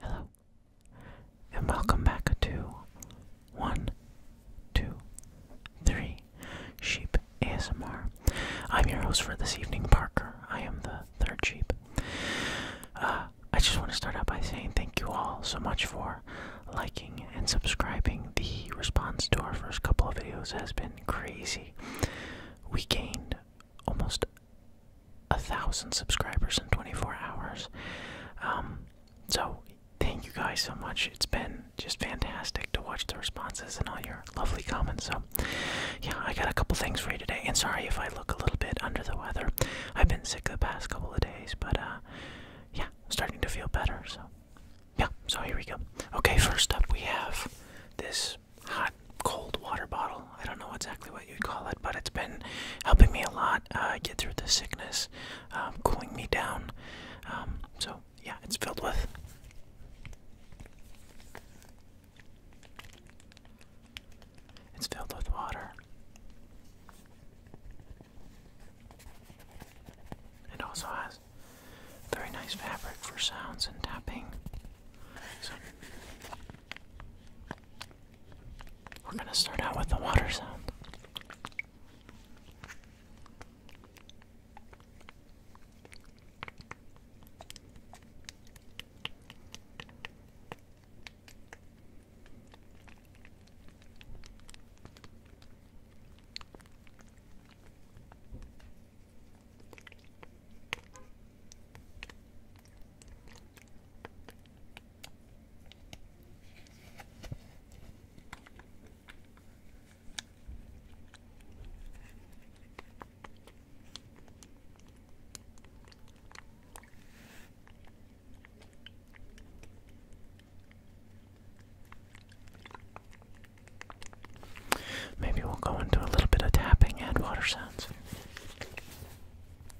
Hello, and welcome back to one, two, three sheep ASMR. I'm your host for this evening, Parker. I am the third sheep. Uh, I just want to start out by saying thank you all so much for liking and subscribing. The response to our first couple of videos has been crazy. We gained almost a thousand subscribers in 24 hours. Um, so thank you guys so much. It's been just fantastic to watch the responses and all your lovely comments. So yeah, I got a couple things for you today. And sorry if I look a little bit under the weather. I've been sick the past couple of days, but uh, yeah, starting to feel better. So yeah, so here we go. Okay, first up we have this hot cold water bottle I don't know exactly what you'd call it, but it's been helping me a lot uh, get through the sickness, um, cooling me down. Um, so, yeah, it's filled with. It's filled with water. It also has very nice fabric for sounds and tapping. We're gonna start out with the water sound. Maybe we'll go into a little bit of tapping and water sounds.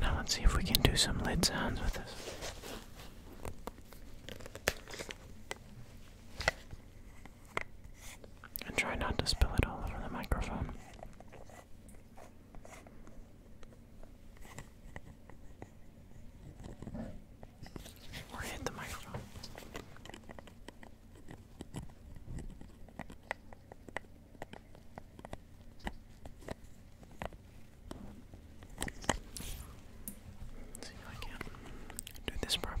Now let's see if we can do some lid sounds with this. And try not to spill it all over the microphone. Or hit the microphone. see if I can do this properly.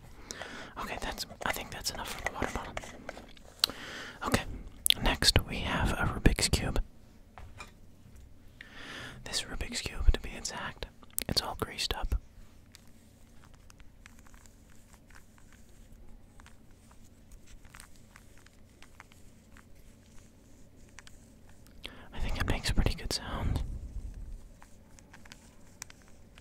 Okay, that's. I think that's enough for the water bottle. Okay, next we have a Rubik's Cube. This Rubik's Cube, to be exact, it's all greased up. I think it makes a pretty good sound.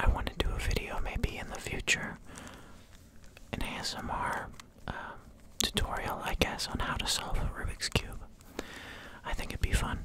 I want to do a video maybe in the future, an ASMR um, tutorial, I guess, on how to solve a Rubik's Cube. I think it'd be fun.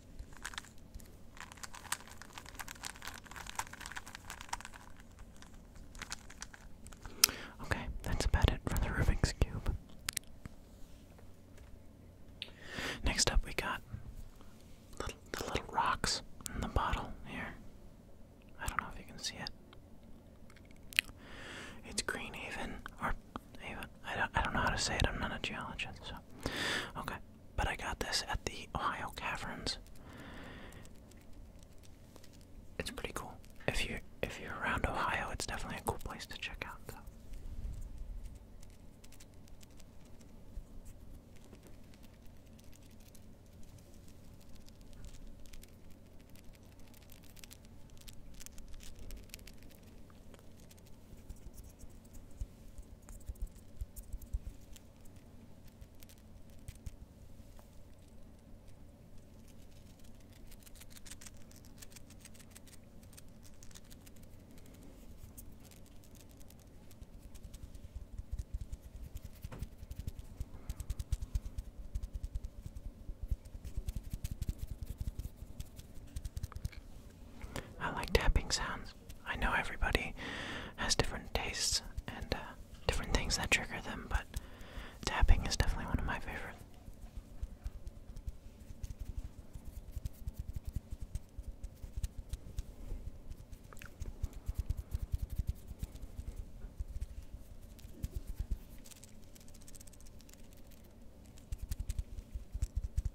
Okay, that's about it for the Rubik's Cube. Next up, we got little, the little rocks in the bottle here. I don't know if you can see it. It's Greenhaven, or Haven. I don't, I don't know how to say it. I'm not a geologist, so. Okay, but I got this at the Ohio Caverns. It's pretty cool. If you if you're around Ohio, it's definitely a cool place to check out. I like tapping sounds. I know everybody has different tastes and uh, different things that trigger them, but tapping is definitely one of my favorite.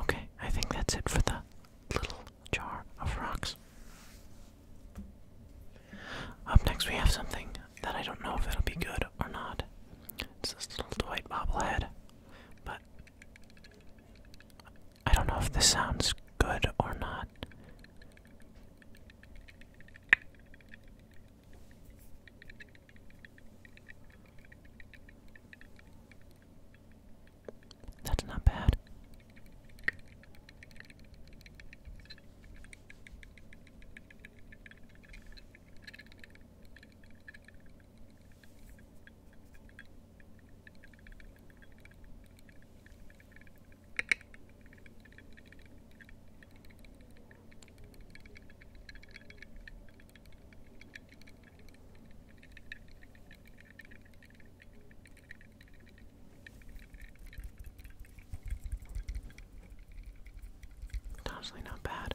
Okay, I think that's it for the little jar of rocks. Up next, we have something that I don't know if it'll be good or not. It's this little Dwight bobblehead, but I don't know if this sounds good or not. That's not bad. It's honestly not bad.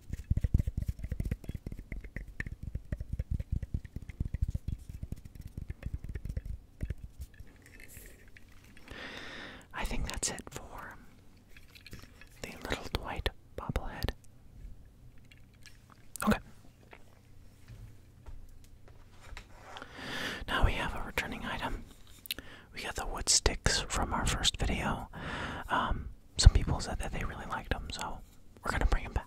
I think that's it for the little Dwight bobblehead. Okay. Now we have a returning item. We got the wood sticks from our first video. Um, some people said that they really liked him, so we're gonna bring him back.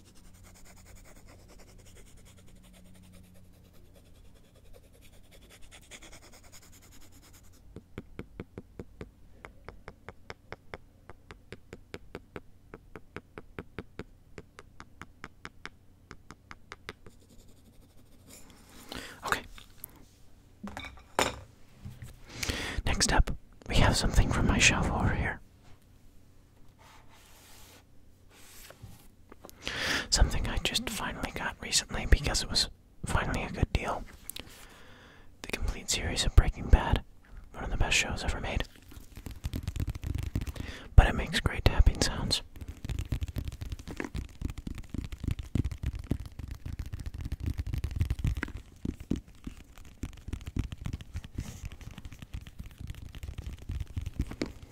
Okay. Next up, we have something from my shelf over here. Something I just finally got recently because it was finally a good deal. The complete series of Breaking Bad, one of the best shows ever made. But it makes great tapping sounds.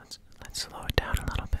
Let's let's slow it down a little bit.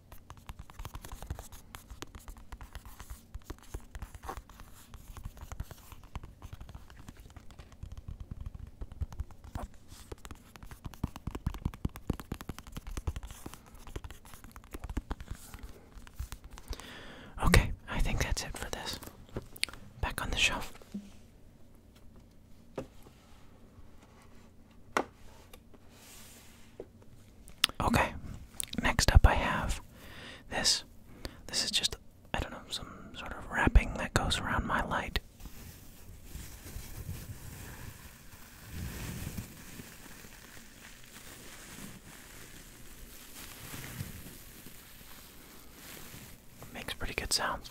Okay, I think that's it for this. Back on the shelf. Okay, next up I have this. This is just, I don't know, some sort of wrapping that goes around my light. Makes pretty good sounds.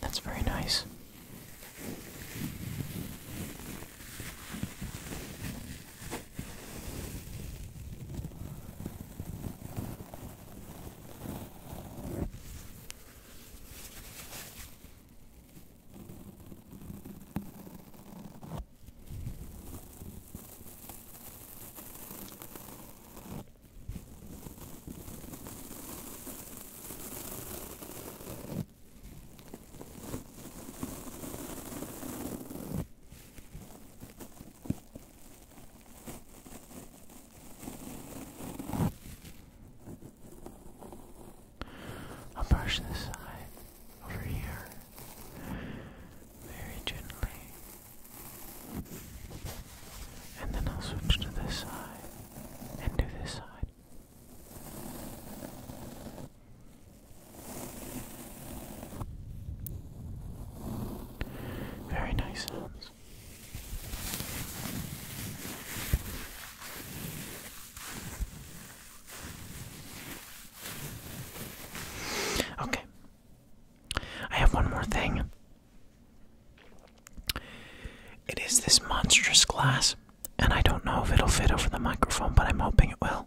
That's very nice. I'll brush this side over here very gently. And then I'll switch to this side and do this side. Very nice Okay. I have one more thing. It is this monstrous glass, and I don't know if it'll fit over the microphone, but I'm hoping it will.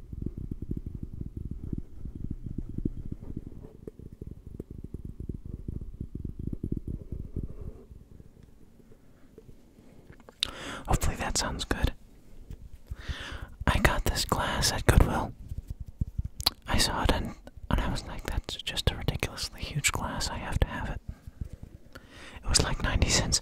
Hopefully that sounds good. I got this glass at Goodwill. I saw it and, and I was like, that's just a ridiculously huge glass. I have to have it. It was like 90 cents.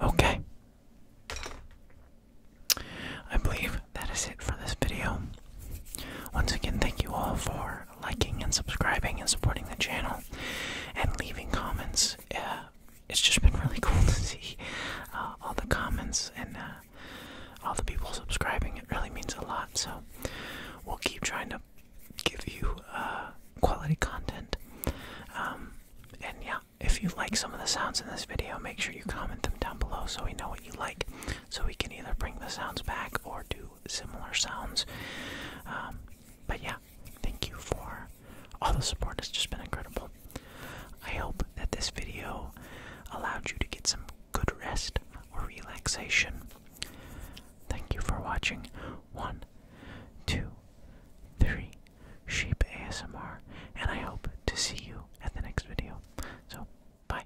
Okay. I believe that is it for this video. Once again, thank you all for liking and subscribing and supporting the channel and leaving comments. Uh, it's just been really cool to see uh, all the comments and uh, all the people subscribing. It really means a lot. So we'll keep trying to give you quality content. Um, and yeah, if you like some of the sounds in this video, make sure you comment them down below so we know what you like. So we can either bring the sounds back or do similar sounds. Um, but yeah, thank you for all the support. It's just been incredible. I hope that this video allowed you to get some good rest or relaxation. Thank you for watching. One, two, three, Sheep ASMR, and I hope to see you at the next video. So, bye.